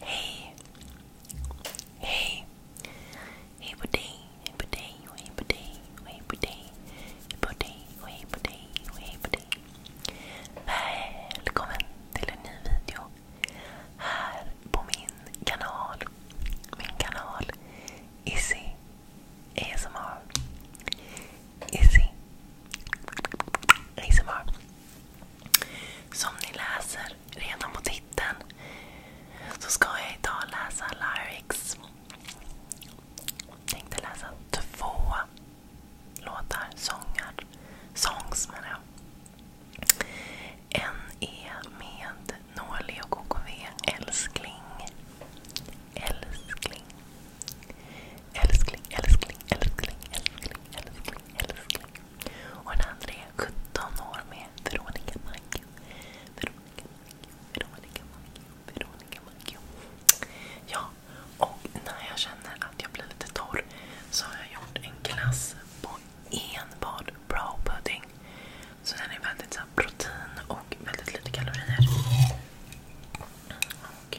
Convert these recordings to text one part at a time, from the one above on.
Hej! Hej! Hej på dig, hej på dig, hej på dig, hej på dig. Hej på dig, hej på dig, hej på dig. Välkommen till en ny video här på min kanal. Min kanal Izzy ASMR. Izzy. ASMR. Som ni läser redan på titeln så ska jag idag läsa lyrics. Tänkte läsa två låtar, sångar. Songs menar jag. En är med Norli och KKV, Älskling. Älskling. Älskling, älskling, älskling, älskling, älskling, älskling. Och den andra är 17 år med Veronica Maggio. Veronica Maggio, Veronica Maggio, Veronica Maggio. Ja, och när jag känner att jag blir lite torr så har jag gjort en glass på enbart brow pudding. Så den är väldigt så protein och väldigt lite kalorier. Och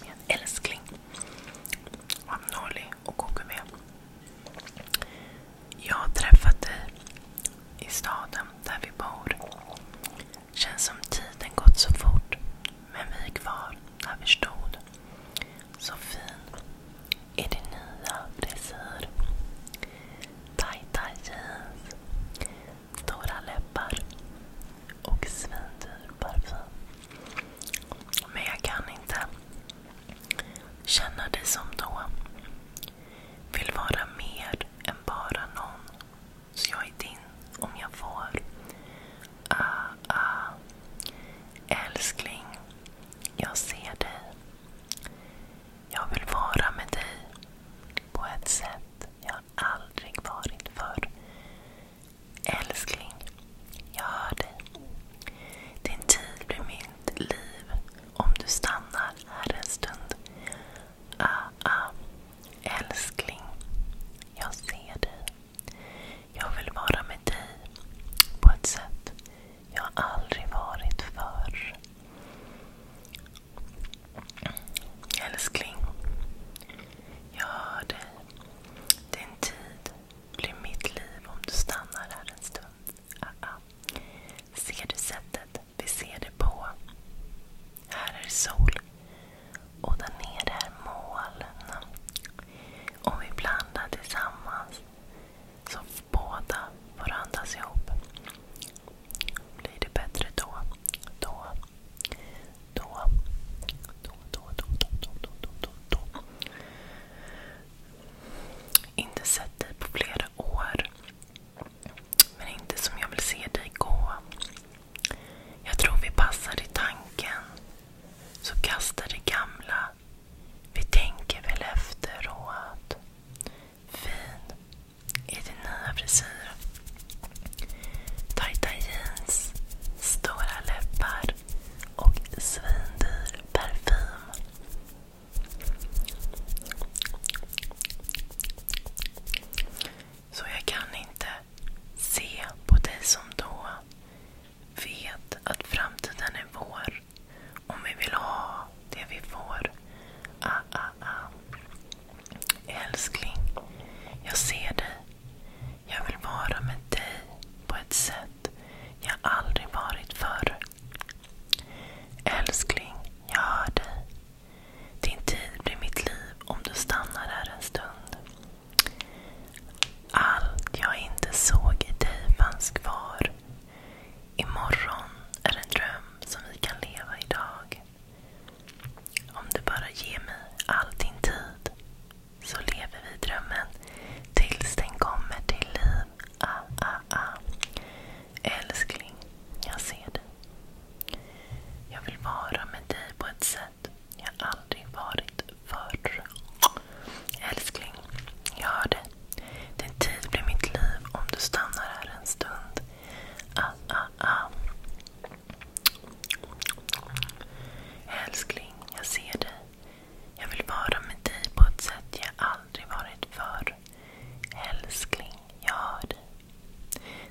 Min älskling. Amnoli och KKB. Jag har träffat dig i staden där vi bor. Känns som tiden gått så fort. Men vi är kvar där vi stod. Så fin i din nya frisyr. Tajta jeans. Torra läppar och svindyr parfym. Men jag kan inte känna dig som då. Vill vara mer än bara någon. Så jag är din om jag får. Ah, ah. Älskling, jag ser dig. Jag vill vara med dig på ett sätt jag har aldrig varit förr. Älskling, jag hör dig. Din tid blir mitt liv om du stannar här en stund. Ah, ah. Älskling, jag ser dig. Jag vill vara med dig på ett sätt jag aldrig varit förr. Älskling, jag hör dig. Din tid blir mitt liv om du stannar här en stund. Ah, ah. Ser du sättet vi ser det på? Här är sol och där nere är moln. Om vi blandar tillsammans så båda får andas ihop. Blir det bättre då? Då? Då, då, då, då, då, då, då, då, då, då. Inte sett dig på flera år. Men inte som jag vill se dig gå. Jag tror vi passar i tanken. Så kastar det gamla. Vi tänker väl efteråt. Fin, i din nya frisyr. Tajta jeans, stora läppar och svindyr parfym. Så jag kan inte se på dig som då. Vet att framtiden är vår. Om vi vill ha det vi får. Ah, ah, ah. Älskling, jag ser dig. Jag vill vara med dig på ett sätt jag aldrig varit förr. Älskling, jag hör dig. Din tid blir mitt liv om du stannar här en stund. Allt jag inte såg i dig fanns kvar. Imorgon är en dröm som vi kan leva idag. Om du bara ger mig all din tid så lever vi drömmen tills den kommer till liv. Ah, ah, ah. Älskling, jag ser dig. Jag vill vara med dig på ett sätt jag aldrig varit förr. Älskling, jag hör dig. Din tid blir mitt liv om du stannar här en stund. Ah, ah, ah. Älskling, jag ser dig. Jag vill vara med dig på ett sätt jag aldrig varit förr. Älskling, jag hör dig.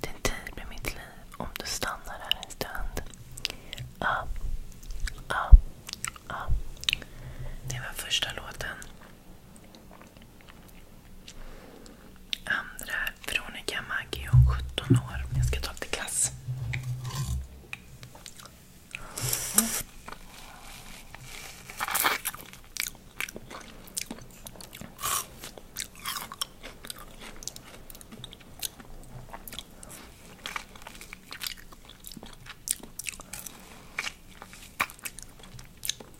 Din tid blir mitt liv om du stannar här en stund. Ah, ah, ah. Det var första låten. Andra Veronica Maggio, 17 år. Jag ska ta till klass.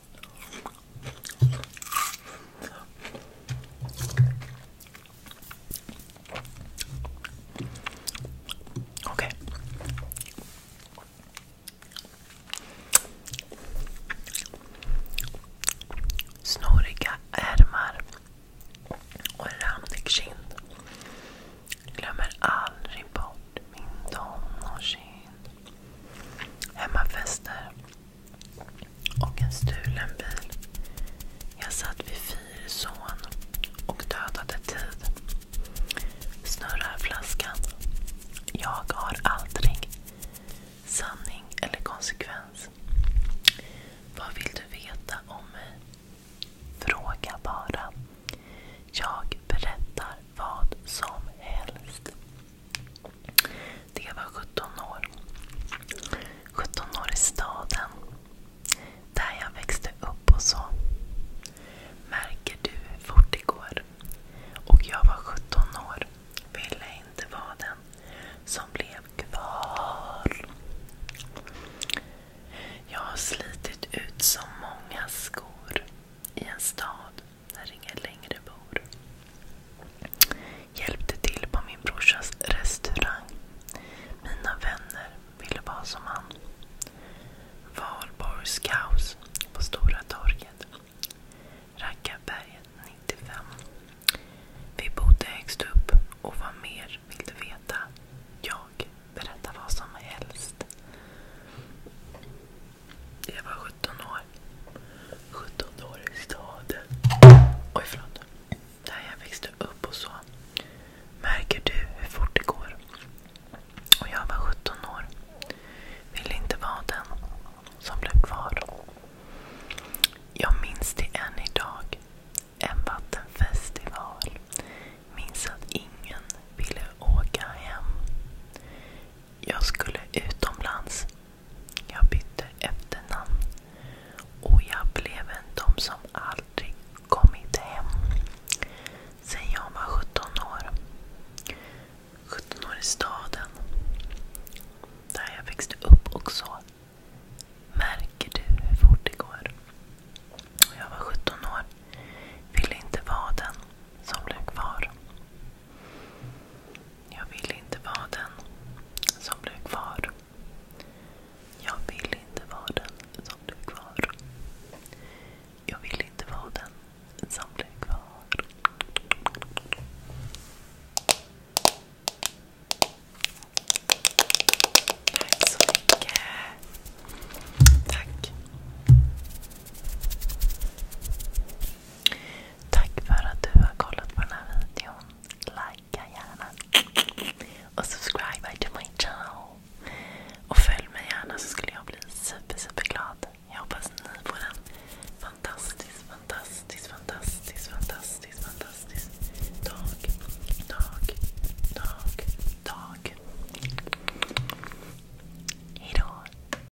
Okej. Okay. Snoriga ärmar och randig kind. Glömmer aldrig bort min tonårskind. Hemmafester och en stulen bil. Jag satt vid fyrsån och dödade tid. Snurrar flaskan. Jag har aldrig sanning eller konsekvens. Vad vill du veta om mig? Fråga bara. Jag berättar vad som helst. Det var 17 år. 17 år i staden. Där jag växte upp och så. Märker du hur fort det går? Och jag var 17 år. Ville inte vara den som blev kvar. Jag har slitit ut så många skor i en stad när ingen längre bor. Hjälpte till på min brorsas restaurang. Mina vänner ville vara som han. Valborgs kaos på Stora torget. Rackarberget 95. Vi bodde högst upp och vad mer vill du veta? Jag berättar vad som helst. Jag var 17 år. 17 år i staden. Oj, förlåt. Där jag växte upp och så. Märker du hur fort det går? Och jag var 17 år. Ville inte vara den som blev kvar. Jag minns det än idag. En vattenfestival. Minns att ingen ville åka hem. Jag skulle utomlands jag bytte efternamn och jag blev en de som aldrig kommit hem sen jag var 17 år. 17 år i staden, där jag växte upp också. Märker du hur fort det går? Och jag var 17 år, ville inte vara den som blev kvar. Jag vill inte vara den som blev kvar. Jag vill inte vara den som blev kvar. Jag vill inte vara den som blev kvar. Tack så mycket. Tack. Tack för att du har kollat på den här videon. Likea gärna. Och subscribe to my channel. Och följ mig gärna så skulle jag bli super, super glad. Jag hoppas ni får en fantastisk, fantastisk, fantastisk, fantastisk, fantastisk dag. Dag, dag, dag. Hejdå!